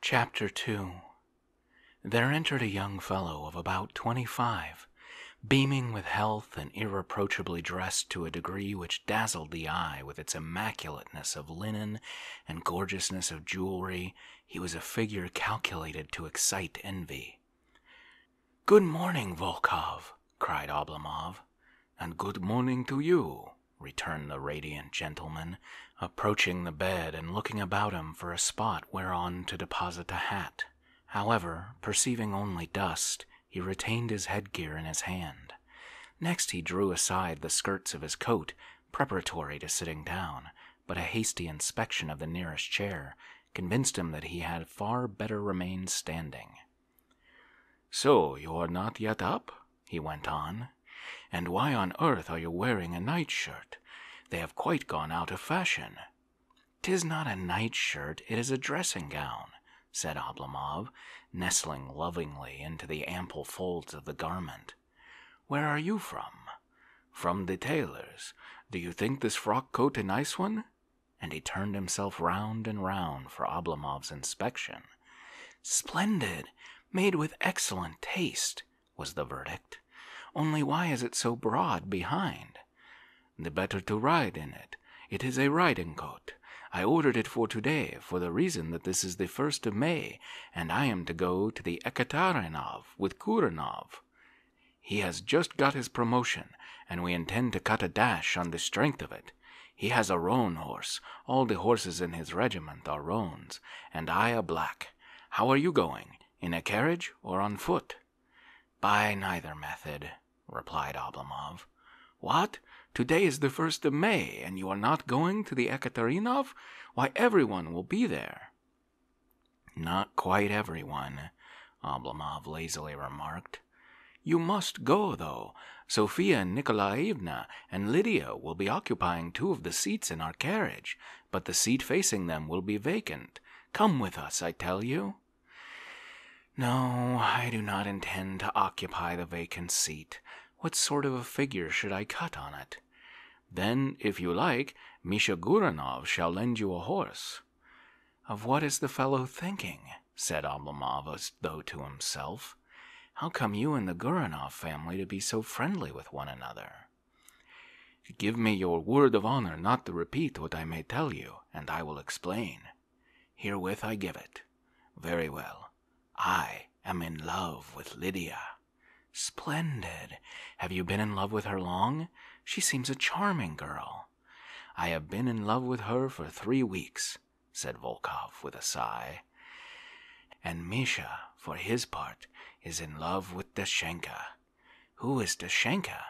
Chapter 2 There entered a young fellow of about twenty five, beaming with health and irreproachably dressed to a degree which dazzled the eye with its immaculateness of linen and gorgeousness of jewelry. He was a figure calculated to excite envy. Good morning, Volkov, cried Oblomov, and good morning to you, returned the radiant gentleman, approaching the bed and looking about him for a spot whereon to deposit a hat. However, perceiving only dust, he retained his headgear in his hand. Next, he drew aside the skirts of his coat, preparatory to sitting down, but a hasty inspection of the nearest chair convinced him that he had far better remain standing. So, you're not yet up? he went on. And why on earth are you wearing a nightshirt? They have quite gone out of fashion. Tis not a nightshirt, it is a dressing gown, said Oblomov, nestling lovingly into the ample folds of the garment. Where are you from? From the tailor's. Do you think this frock coat a nice one? And he turned himself round and round for Oblomov's inspection. Splendid, made with excellent taste, was the verdict. Only why is it so broad behind? The better to ride in it. It is a riding coat. I ordered it for today for the reason that this is the first of May, and I am to go to the Ekaterinov with Kurenov. He has just got his promotion, and we intend to cut a dash on the strength of it. He has a roan horse. All the horses in his regiment are roans and I a black. How are you going? In a carriage or on foot? By neither method, replied Oblomov. What? Today is the first of May, and you are not going to the Ekaterinov? Why, everyone will be there. Not quite everyone, Oblomov lazily remarked. You must go, though. Sophia Nikolaevna and Lydia will be occupying two of the seats in our carriage, but the seat facing them will be vacant. Come with us, I tell you. No, I do not intend to occupy the vacant seat. What sort of a figure should I cut on it? Then, if you like, Misha Guranov shall lend you a horse. Of what is the fellow thinking? said Oblomov as though to himself. How come you and the Guranov family to be so friendly with one another? Give me your word of honor not to repeat what I may tell you, and I will explain. Herewith I give it. Very well. I am in love with Lydia. Splendid. Have you been in love with her long? She seems a charming girl. I have been in love with her for three weeks, said Volkov with a sigh. And Misha, for his part, is in love with Dashenka. Who is Dashenka?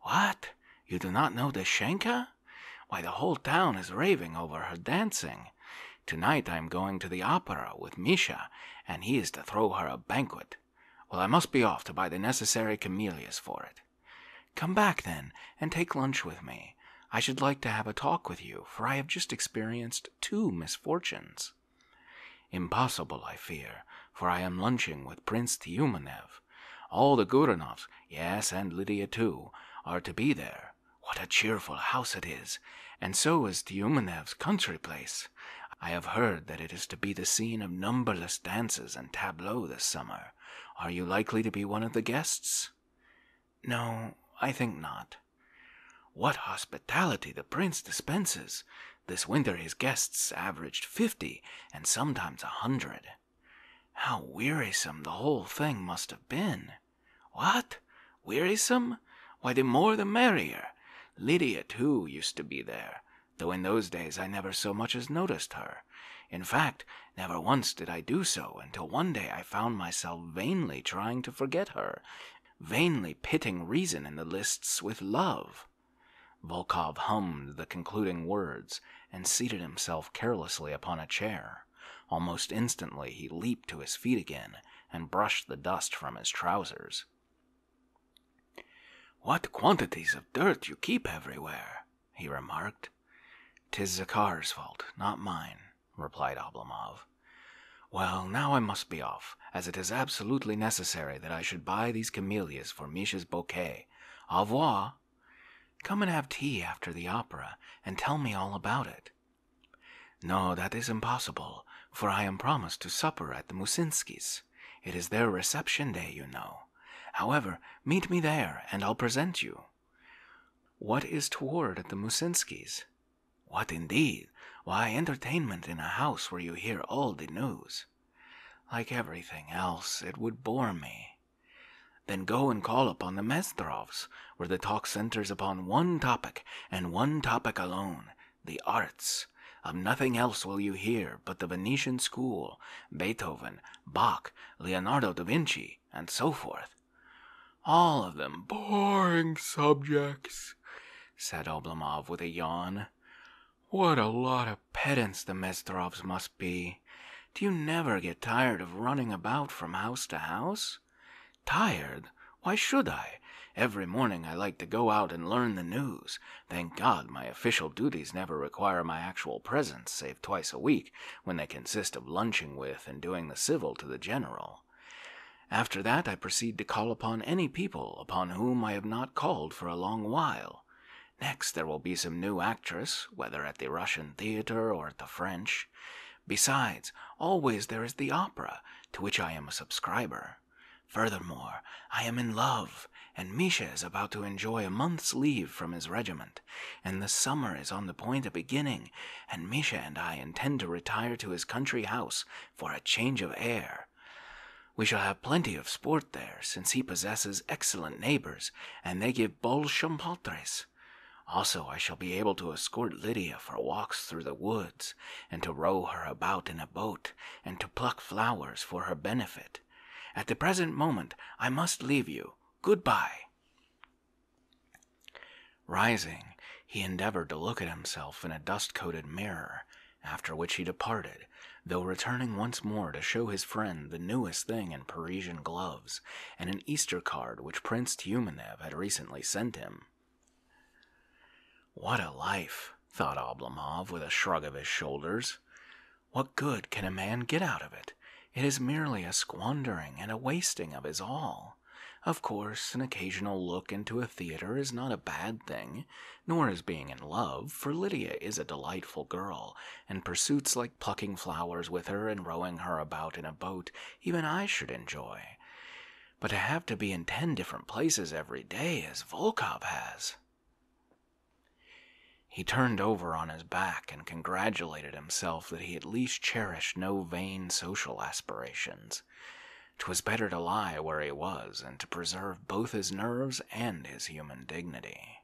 What? You do not know Dashenka? Why, the whole town is raving over her dancing. Tonight I am going to the opera with Misha, and he is to throw her a banquet. Well, I must be off to buy the necessary camellias for it. Come back, then, and take lunch with me. I should like to have a talk with you, for I have just experienced two misfortunes. Impossible, I fear, for I am lunching with Prince Tiumenev. All the Gouranovs, yes, and Lydia too, are to be there. What a cheerful house it is! And so is Tiumenev's country place. I have heard that it is to be the scene of numberless dances and tableaux this summer. Are you likely to be one of the guests? No, I think not. What hospitality the prince dispenses! This winter his guests averaged fifty and sometimes a hundred. How wearisome the whole thing must have been! What? Wearisome? Why, the more the merrier. Lydia, too, used to be there, though in those days I never so much as noticed her. In fact, never once did I do so until one day I found myself vainly trying to forget her vainly pitting reason in the lists with love. Volkov hummed the concluding words and seated himself carelessly upon a chair. Almost instantly he leaped to his feet again and brushed the dust from his trousers. What quantities of dirt you keep everywhere, he remarked. "'Tis Zakhar's fault, not mine replied Oblomov. Well, now I must be off, as it is absolutely necessary that I should buy these camellias for Misha's bouquet. Au revoir. Come and have tea after the opera, and tell me all about it. No, that is impossible, for I am promised to supper at the Musinskys. It is their reception day, you know. However, meet me there, and I'll present you. What is toward at the Musinskys? What indeed? Why entertainment in a house where you hear all the news? Like everything else, it would bore me. Then go and call upon the Mestrovs, where the talk centers upon one topic and one topic alone the arts. Of nothing else will you hear but the Venetian school, Beethoven, Bach, Leonardo da Vinci, and so forth. All of them boring subjects, said Oblomov with a yawn. What a lot of pedants the Mezdarovs must be. Do you never get tired of running about from house to house? Tired? Why should I? Every morning I like to go out and learn the news. Thank God my official duties never require my actual presence, save twice a week, when they consist of lunching with and doing the civil to the general. After that, I proceed to call upon any people upon whom I have not called for a long while. Next, there will be some new actress, whether at the Russian theater or at the French. Besides, always there is the opera, to which I am a subscriber. Furthermore, I am in love, and Misha is about to enjoy a month's leave from his regiment, and the summer is on the point of beginning and Misha and I intend to retire to his country house for a change of air. We shall have plenty of sport there, since he possesses excellent neighbors, and they give bons champotres. Also, I shall be able to escort Lydia for walks through the woods, and to row her about in a boat, and to pluck flowers for her benefit. At the present moment, I must leave you. Goodbye. Rising, he endeavored to look at himself in a dust coated mirror, after which he departed, though returning once more to show his friend the newest thing in Parisian gloves and an Easter card which Prince Tiumenev had recently sent him. What a life, thought Oblomov with a shrug of his shoulders. What good can a man get out of it? It is merely a squandering and a wasting of his all. Of course, an occasional look into a theater is not a bad thing, nor is being in love, for Lydia is a delightful girl, and pursuits like plucking flowers with her and rowing her about in a boat even I should enjoy. But to have to be in ten different places every day, as Volkov has. He turned over on his back and congratulated himself that he at least cherished no vain social aspirations. 'Twas better to lie where he was and to preserve both his nerves and his human dignity.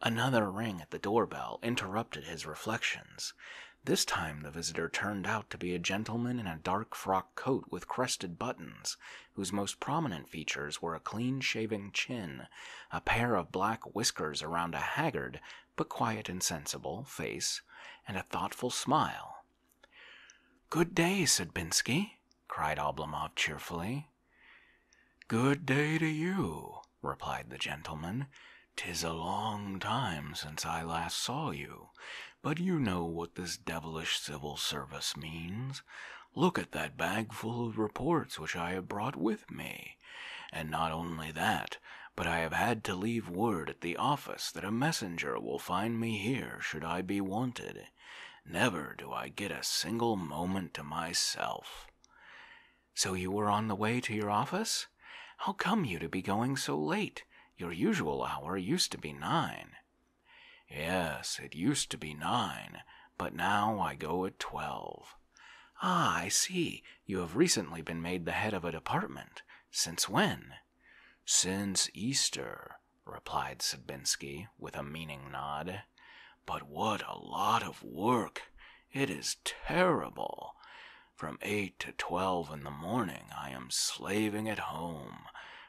Another ring at the doorbell interrupted his reflections. This time the visitor turned out to be a gentleman in a dark frock coat with crested buttons, whose most prominent features were a clean shaven chin, a pair of black whiskers around a haggard but quiet and sensible, face, and a thoughtful smile. Good day, Sidbinsky, cried Oblomov cheerfully. Good day to you, replied the gentleman. "'Tis a long time since I last saw you, but you know what this devilish civil service means. Look at that bag full of reports which I have brought with me. And not only that, but I have had to leave word the office that a messenger will find me here should I be wanted. Never do I get a single moment to myself. So you were on the way to your office? How come you to be going so late? Your usual hour used to be nine. Yes, it used to be nine, but now I go at twelve. Ah, I see. You have recently been made the head of a department. Since when? Since Easter, replied Sidbinsky with a meaning nod. But what a lot of work! It is terrible. From eight to twelve in the morning I am slaving at home,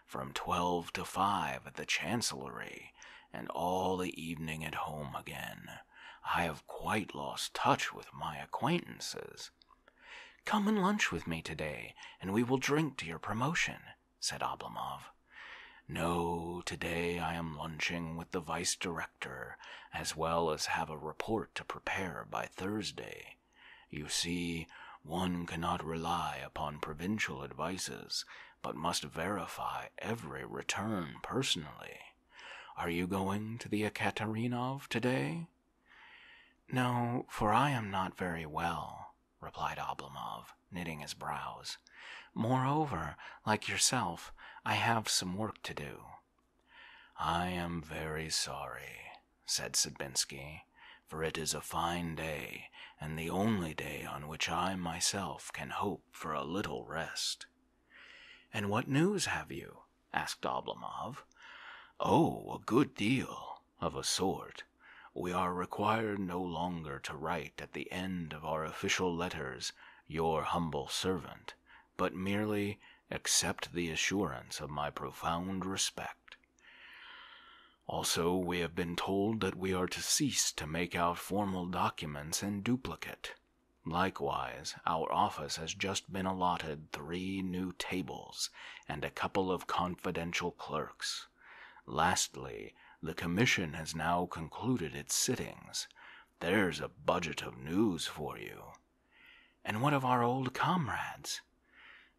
from twelve to five at the Chancellery, and all the evening at home again. I have quite lost touch with my acquaintances. Come and lunch with me today, and we will drink to your promotion, said Oblomov. No, today I am lunching with the vice director, as well as have a report to prepare by Thursday. You see, one cannot rely upon provincial advices, but must verify every return personally. Are you going to the Ekaterinov today? No, for I am not very well, replied Oblomov, knitting his brows. Moreover, like yourself, I have some work to do. I am very sorry, said Sidbinsky, for it is a fine day, and the only day on which I myself can hope for a little rest. And what news have you? asked Oblomov. "Oh, a good deal, of a sort. We are required no longer to write at the end of our official letters 'Your humble servant,' but merely 'Accept the assurance of my profound respect.' Also, we have been told that we are to cease to make out formal documents in duplicate. Likewise, our office has just been allotted three new tables and a couple of confidential clerks. Lastly, the commission has now concluded its sittings. There's a budget of news for you. And what of our old comrades?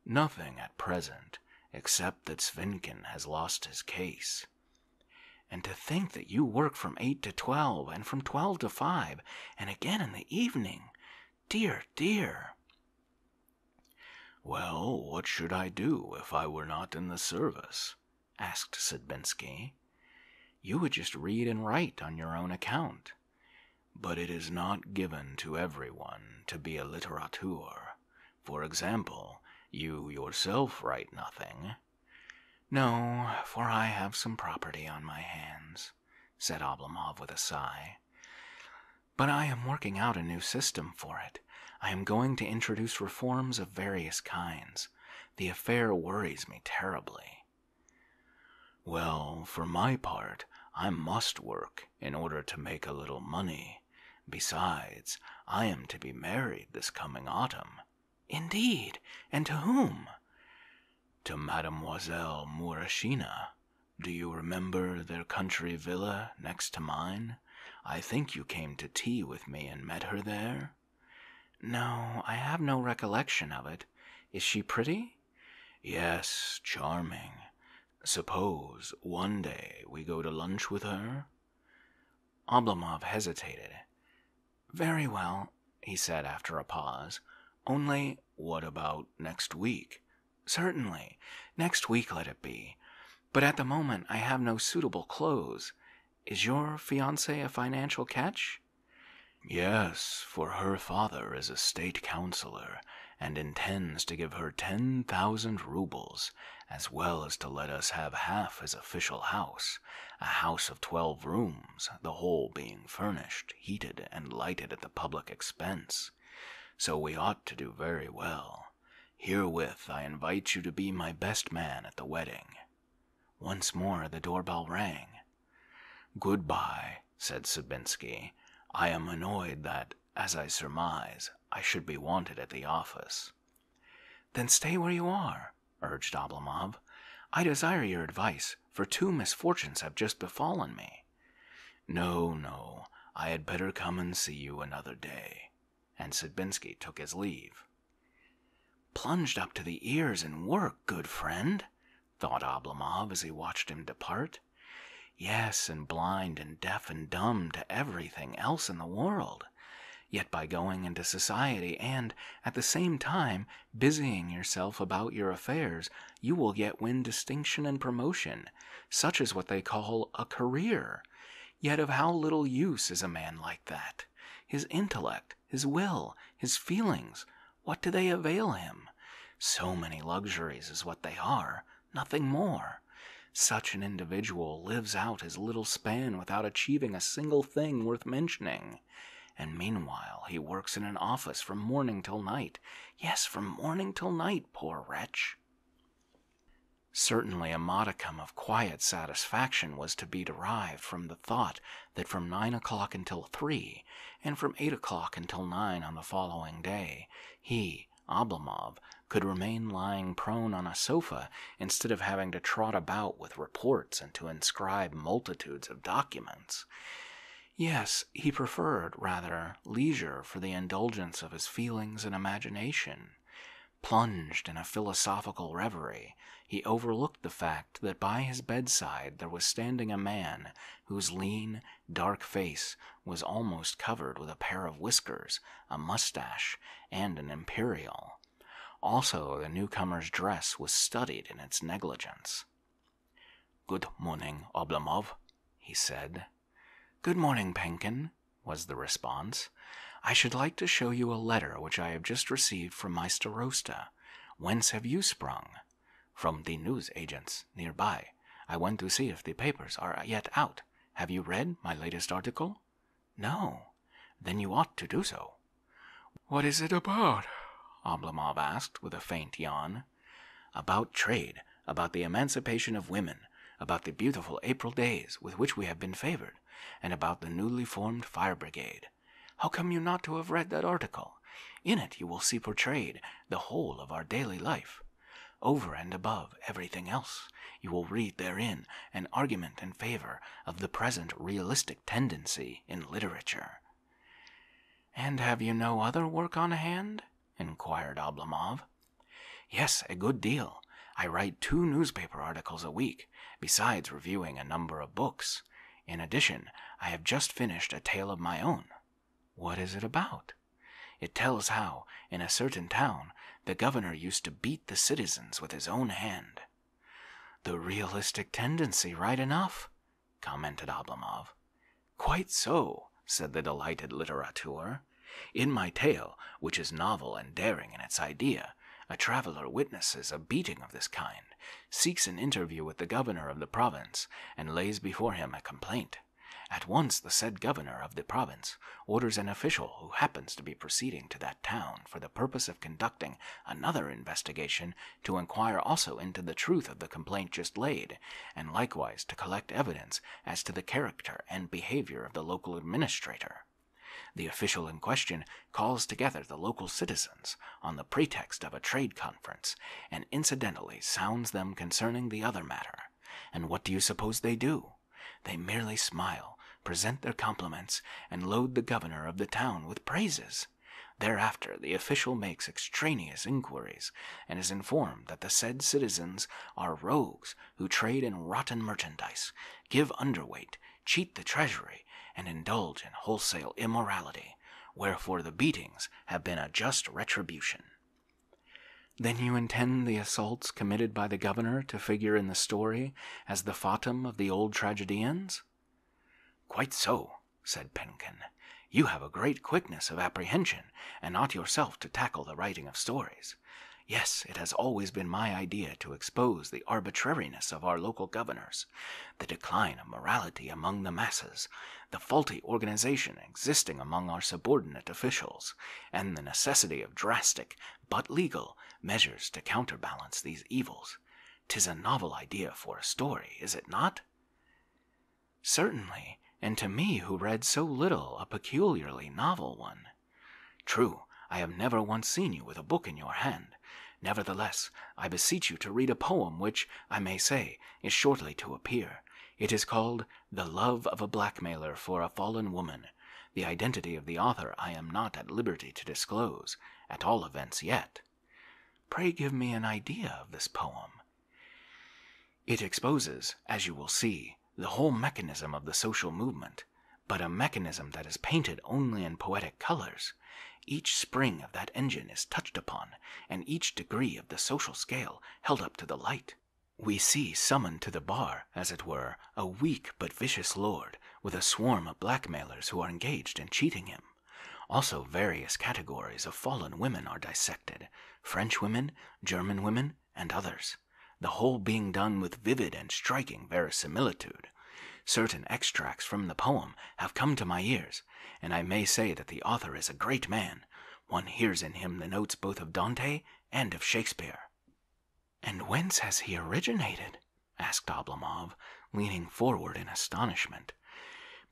Nothing at present, except that Svinkin has lost his case. And to think that you work from eight to twelve, and from twelve to five, and again in the evening. Dear, dear! Well, what should I do if I were not in the service? asked Sidbensky. You would just read and write on your own account. But it is not given to every one to be a litterateur. For example, you yourself write nothing. No, for I have some property on my hands said Oblomov with a sigh. But I am working out a new system for it. I am going to introduce reforms of various kinds. The affair worries me terribly. Well, for my part, I must work in order to make a little money. Besides, I am to be married this coming autumn. Indeed, and to whom? to Mademoiselle Murashina. Do you remember their country villa next to mine? I think you came to tea with me and met her there? No, I have no recollection of it. Is she pretty? Yes, charming. Suppose one day we go to lunch with her? Oblomov hesitated. Very well, he said after a pause. Only what about next week? Certainly. Next week let it be. But at the moment I have no suitable clothes. Is your fiance a financial catch? Yes, for her father is a state councilor and intends to give her 10,000 roubles, as well as to let us have half his official house, a house of 12 rooms, the whole being furnished heated, and lighted at the public expense. So we ought to do very well. Herewith I invite you to be my best man at the wedding. Once more the doorbell rang. Goodbye, said Sabinsky. I am annoyed that, as I surmise, I should be wanted at the office. Then stay where you are, urged Oblomov. I desire your advice for two misfortunes have just befallen me. No, no, I had better come and see you another day. And Sidbinsky took his leave. Plunged up to the ears in work, good friend, thought Oblomov as he watched him depart. Yes, and blind and deaf and dumb to everything else in the world. Yet by going into society and, at the same time, busying yourself about your affairs, you will yet win distinction and promotion. Such is what they call a career. Yet of how little use is a man like that? His intellect, his will, his feelings, what do they avail him? So many luxuries is what they are, nothing more. Such an individual lives out his little span without achieving a single thing worth mentioning. And meanwhile, he works in an office from morning till night. Yes, from morning till night, poor wretch. Certainly, a modicum of quiet satisfaction was to be derived from the thought that from nine o'clock until three, and from eight o'clock until nine on the following day, he, Oblomov, could remain lying prone on a sofa instead of having to trot about with reports and to inscribe multitudes of documents. Yes, he preferred, rather, leisure for the indulgence of his feelings and imagination. Plunged in a philosophical reverie, he overlooked the fact that by his bedside there was standing a man whose lean, dark face was almost covered with a pair of whiskers, a mustache, and an imperial. Also, the newcomer's dress was studied in its negligence. Good morning, Oblomov, he said. Good morning, Penkin, was the response. I should like to show you a letter which I have just received from my starosta. Whence have you sprung? From the news agents near by. I went to see if the papers are yet out. Have you read my latest article? No. Then you ought to do so. What is it about? Oblomov asked with a faint yawn. About trade, about the emancipation of women, about the beautiful April days with which we have been favored, and about the newly formed fire brigade. How come you not to have read that article? In it you will see portrayed the whole of our daily life. Over and above everything else, you will read therein an argument in favor of the present realistic tendency in literature. And have you no other work on hand? inquired Oblomov. Yes, a good deal. I write two newspaper articles a week, besides reviewing a number of books. In addition, I have just finished a tale of my own. What is it about? It tells how, in a certain town, the governor used to beat the citizens with his own hand. The realistic tendency, right enough, commented Oblomov. Quite so, said the delighted litterateur. In my tale, which is novel and daring in its idea, a traveler witnesses a beating of this kind, seeks an interview with the governor of the province, and lays before him a complaint. At once the said governor of the province orders an official who happens to be proceeding to that town for the purpose of conducting another investigation to inquire also into the truth of the complaint just laid, and likewise to collect evidence as to the character and behavior of the local administrator. The official in question calls together the local citizens on the pretext of a trade conference and incidentally sounds them concerning the other matter. And what do you suppose they do? They merely smile, present their compliments, and load the governor of the town with praises, Thereafter, the official makes extraneous inquiries and is informed that the said citizens are rogues who trade in rotten merchandise, give underweight, cheat the treasury, and indulge in wholesale immorality, wherefore the beatings have been a just retribution. Then you intend the assaults committed by the governor to figure in the story as the fatum of the old tragedians? Quite so, said Penkin. You have a great quickness of apprehension, and ought yourself to tackle the writing of stories. Yes, it has always been my idea to expose the arbitrariness of our local governors, the decline of morality among the masses, the faulty organization existing among our subordinate officials, and the necessity of drastic, but legal, measures to counterbalance these evils. 'Tis a novel idea for a story, is it not? Certainly, and to me who read so little, a peculiarly novel one. True, I have never once seen you with a book in your hand. Nevertheless, I beseech you to read a poem which, I may say, is shortly to appear. It is called The Love of a Blackmailer for a Fallen Woman. The identity of the author I am not at liberty to disclose, at all events yet. Pray give me an idea of this poem. It exposes, as you will see, the whole mechanism of the social movement, but a mechanism that is painted only in poetic colors. Each spring of that engine is touched upon, and each degree of the social scale held up to the light. We see summoned to the bar, as it were, a weak but vicious lord, with a swarm of blackmailers who are engaged in cheating him. Also, various categories of fallen women are dissected French women, German women, and others, the whole being done with vivid and striking verisimilitude. Certain extracts from the poem have come to my ears, and I may say that the author is a great man. One hears in him the notes both of Dante and of Shakespeare. And whence has he originated? asked Oblomov, leaning forward in astonishment.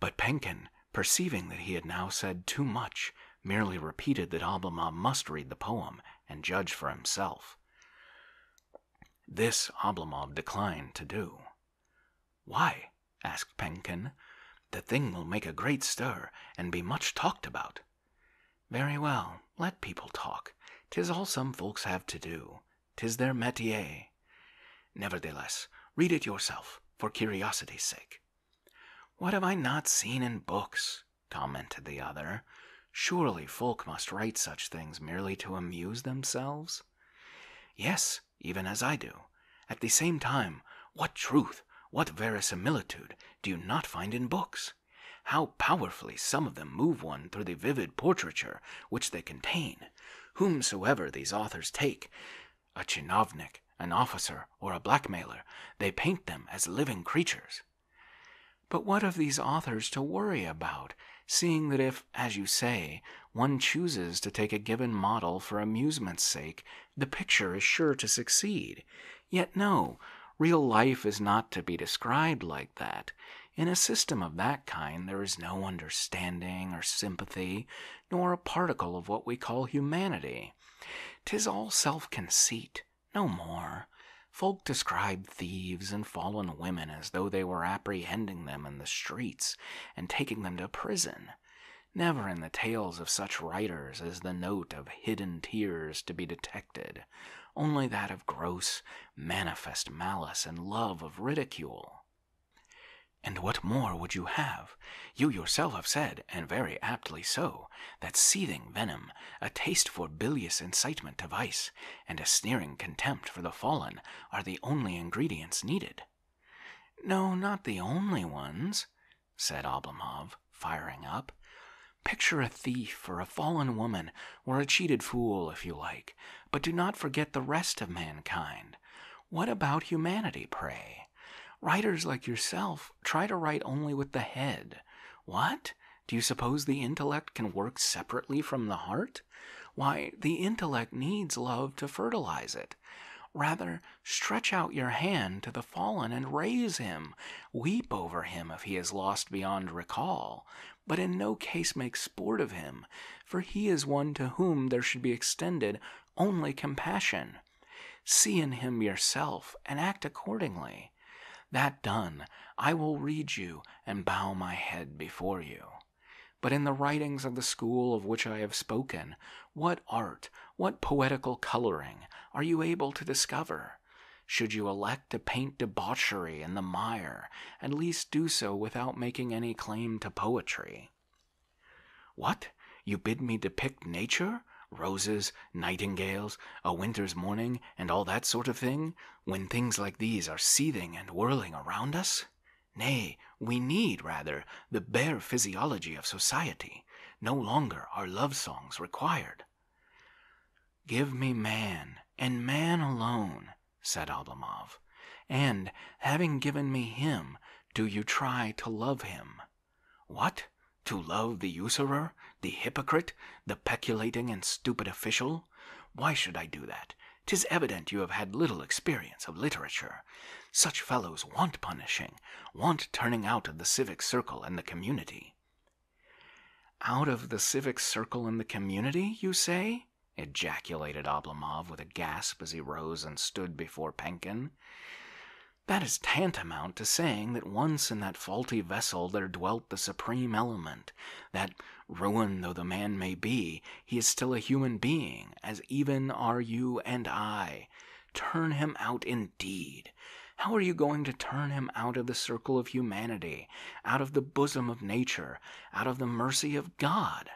But Penkin, perceiving that he had now said too much, merely repeated that Ablamov must read the poem and judge for himself. This Oblomov declined to do. "Why?" asked Penkin. "The thing will make a great stir, and be much talked about." "Very well, let people talk. Tis all some folks have to do. 'Tis their métier. Nevertheless, read it yourself, for curiosity's sake. What have I not seen in books? commented the other. Surely folk must write such things merely to amuse themselves? Yes, even as I do. At the same time, what truth, what verisimilitude, do you not find in books? How powerfully some of them move one through the vivid portraiture which they contain! whomsoever these authors take, a chinovnik, an officer, or a blackmailer, they paint them as living creatures. But what have these authors to worry about, seeing that if, as you say, one chooses to take a given model for amusement's sake, the picture is sure to succeed? Yet no, real life is not to be described like that. In a system of that kind, there is no understanding or sympathy, nor a particle of what we call humanity; tis all self conceit, no more. Folk describe thieves and fallen women as though they were apprehending them in the streets and taking them to prison. Never in the tales of such writers is the note of hidden tears to be detected, only that of gross, manifest malice and love of ridicule. And what more would you have? You yourself have said, and very aptly so, that seething venom, a taste for bilious incitement to vice, and a sneering contempt for the fallen are the only ingredients needed. No, not the only ones, said Oblomov, firing up. Picture a thief or a fallen woman or a cheated fool, if you like, but do not forget the rest of mankind. What about humanity, pray? Writers like yourself try to write only with the head. What? Do you suppose the intellect can work separately from the heart? Why, the intellect needs love to fertilize it. Rather, stretch out your hand to the fallen and raise him. Weep over him if he is lost beyond recall, but in no case make sport of him, for he is one to whom there should be extended only compassion. See in him yourself, and act accordingly. That done, I will read you and bow my head before you. But in the writings of the school of which I have spoken, what art, what poetical coloring, are you able to discover? Should you elect to paint debauchery in the mire, at least do so without making any claim to poetry. What? You bid me depict nature? Roses, nightingales, a winter's morning, and all that sort of thing, when things like these are seething and whirling around us? Nay, we need, rather, the bare physiology of society. No longer are love songs required. Give me man, and man alone, said Oblomov, And, having given me him, do you try to love him? What? To love the usurer, the hypocrite, the peculating and stupid official? Why should I do that? Tis evident you have had little experience of literature. Such fellows want punishing, want turning out of the civic circle and the community. Out of the civic circle and the community, you say? ejaculated Oblomov with a gasp as he rose and stood before Penkin. That is tantamount to saying that once in that faulty vessel there dwelt the supreme element, that, ruined though the man may be, he is still a human being, as even are you and I. Turn him out indeed. How are you going to turn him out of the circle of humanity, out of the bosom of nature, out of the mercy of God?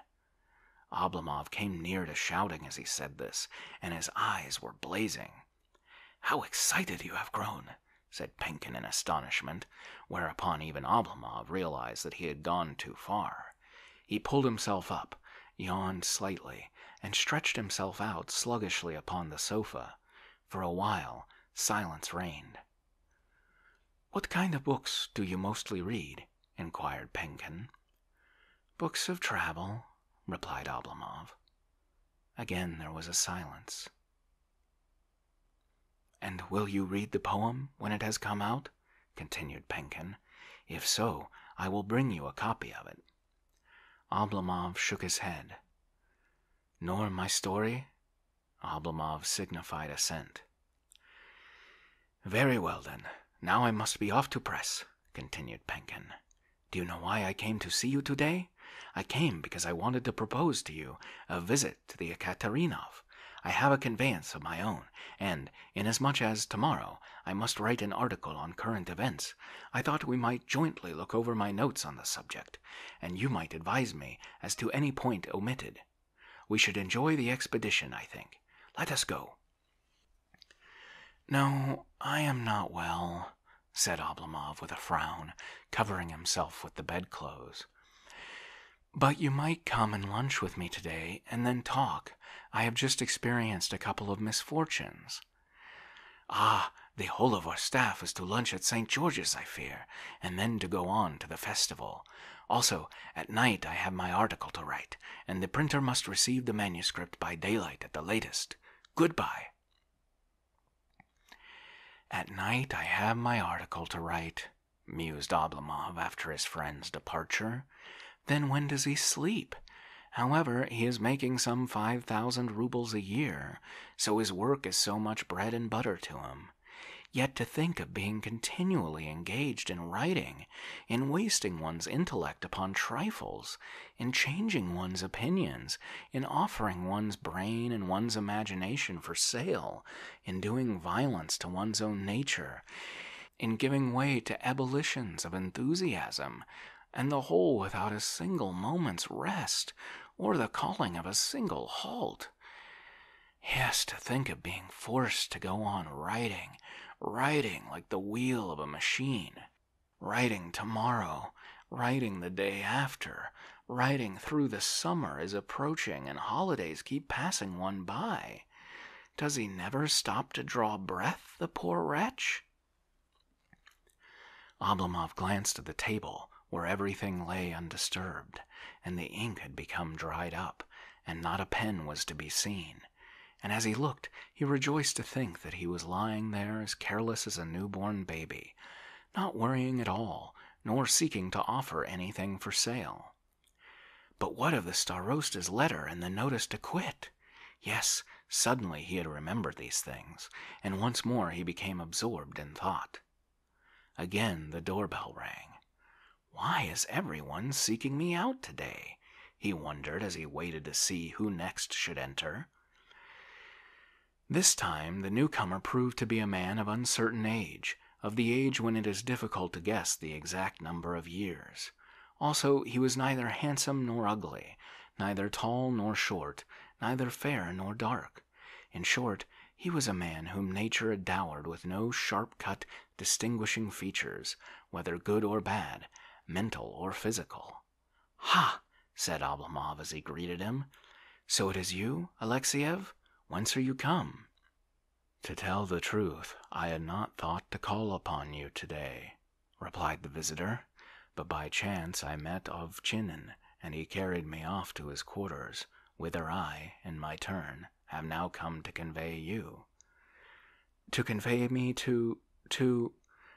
Oblomov came near to shouting as he said this, and his eyes were blazing. How excited you have grown! said Penkin in astonishment, whereupon even Oblomov realized that he had gone too far. He pulled himself up, yawned slightly, and stretched himself out sluggishly upon the sofa. For a while, silence reigned. What kind of books do you mostly read? inquired Penkin. Books of travel, replied Oblomov. Again there was a silence. And will you read the poem when it has come out? continued Penkin. If so, I will bring you a copy of it. Oblomov shook his head. Nor my story? Oblomov signified assent. Very well, then. Now I must be off to press, continued Penkin. Do you know why I came to see you today? I came because I wanted to propose to you a visit to the Ekaterinov. I have a conveyance of my own, and, inasmuch as tomorrow I must write an article on current events, I thought we might jointly look over my notes on the subject, and you might advise me as to any point omitted. We should enjoy the expedition, I think. Let us go. No, I am not well, said Oblomov with a frown, covering himself with the bedclothes. But you might come and lunch with me today and then talk. I have just experienced a couple of misfortunes. Ah, the whole of our staff is to lunch at St. George's, I fear, and then to go on to the festival. Also, at night I have my article to write, and the printer must receive the manuscript by daylight at the latest. Goodbye. At night I have my article to write, mused Oblomov after his friend's departure. Then when does he sleep? However, he is making some 5,000 roubles a year, so his work is so much bread and butter to him. Yet to think of being continually engaged in writing in wasting one's intellect upon trifles, in changing one's opinions, in offering one's brain and one's imagination for sale, in doing violence to one's own nature, in giving way to ebullitions of enthusiasm, and the whole without a single moment's rest, or the calling of a single halt. Has to think of being forced to go on writing, writing like the wheel of a machine, writing tomorrow, writing the day after, writing through the summer is approaching and holidays keep passing one by. Does he never stop to draw breath, the poor wretch? Oblomov glanced at the table where everything lay undisturbed, and the ink had become dried up, and not a pen was to be seen. And as he looked, he rejoiced to think that he was lying there as careless as a newborn baby, not worrying at all, nor seeking to offer anything for sale. But what of the starosta's letter and the notice to quit? Yes, suddenly he had remembered these things, and once more he became absorbed in thought. Again the doorbell rang. Why is everyone seeking me out today? he wondered as he waited to see who next should enter. This time the newcomer proved to be a man of uncertain age, of the age when it is difficult to guess the exact number of years. Also, he was neither handsome nor ugly, neither tall nor short, neither fair nor dark. In short, he was a man whom nature had dowered with no sharp cut, distinguishing features, whether good or bad, mental or physical. Ha! said Oblomov as he greeted him. So it is you, Alexiev? Whence are you come? To tell the truth, I had not thought to call upon you today, replied the visitor, but by chance I met of Ovchinin, and he carried me off to his quarters, whither I, in my turn, have now come to convey you to convey me to to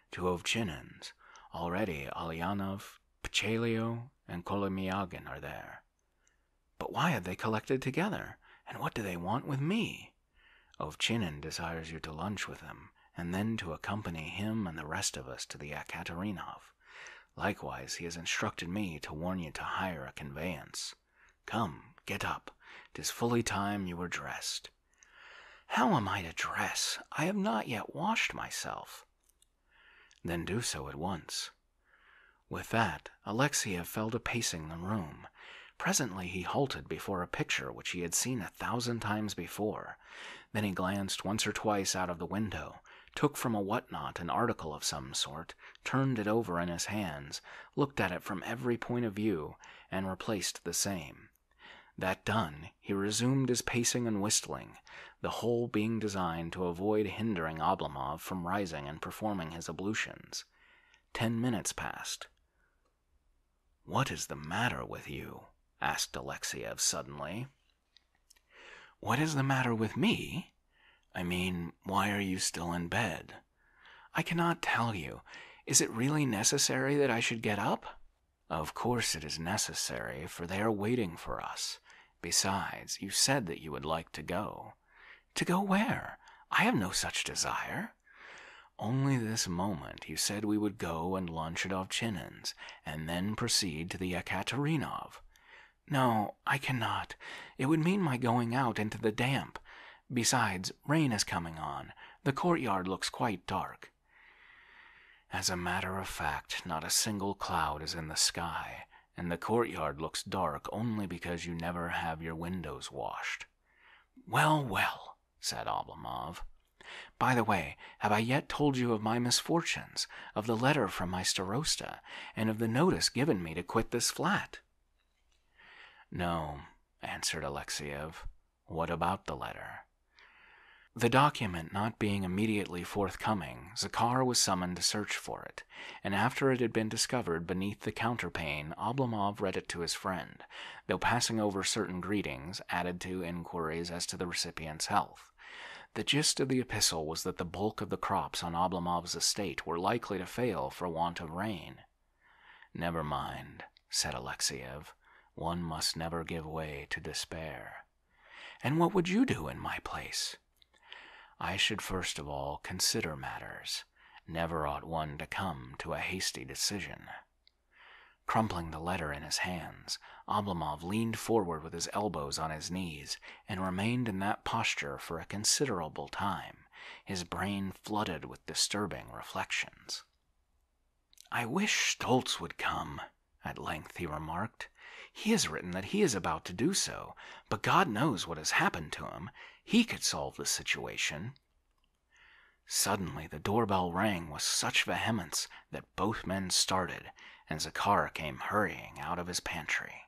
to Ovchinins. Already Alyanov, Pchelio, and Kolomiagin are there. But why have they collected together? And what do they want with me? Ovchinin desires you to lunch with him, and then to accompany him and the rest of us to the Akaterinov. Likewise, he has instructed me to warn you to hire a conveyance. Come, get up. Tis fully time you were dressed. How am I to dress? I have not yet washed myself. Then do so at once. With that, Alexiev fell to pacing the room. Presently he halted before a picture which he had seen a thousand times before. Then he glanced once or twice out of the window, took from a whatnot an article of some sort, turned it over in his hands, looked at it from every point of view, and replaced the same. That done, he resumed his pacing and whistling, the whole being designed to avoid hindering Oblomov from rising and performing his ablutions. Ten minutes passed. What is the matter with you? asked Alexiev suddenly. What is the matter with me? I mean, why are you still in bed? I cannot tell you. Is it really necessary that I should get up? Of course it is necessary, for they are waiting for us. Besides, you said that you would like to go. To go where? I have no such desire. Only this moment you said we would go and lunch at Ovchinin's, and then proceed to the Ekaterinov. No, I cannot. It would mean my going out into the damp, Besides, rain is coming on. The courtyard looks quite dark. As a matter of fact, not a single cloud is in the sky, and the courtyard looks dark only because you never have your windows washed. Well, well, said Oblomov. By the way, have I yet told you of my misfortunes, of the letter from my starosta, and of the notice given me to quit this flat? No, answered Alexiev. What about the letter? The document not being immediately forthcoming, Zakhar was summoned to search for it, and after it had been discovered beneath the counterpane, Oblomov read it to his friend, though passing over certain greetings added to inquiries as to the recipient's health. The gist of the epistle was that the bulk of the crops on Oblomov's estate were likely to fail for want of rain Never mind, said Alexiev. One must never give way to despair. And what would you do in my place? I should first of all consider matters. Never ought one to come to a hasty decision. Crumpling the letter in his hands, Oblomov leaned forward with his elbows on his knees and remained in that posture for a considerable time his brain flooded with disturbing reflections. I wish Stoltz would come, at length he remarked. He has written that he is about to do so, but God knows what has happened to him. He could solve the situation. Suddenly, the doorbell rang with such vehemence that both men started, and Zakhar came hurrying out of his pantry.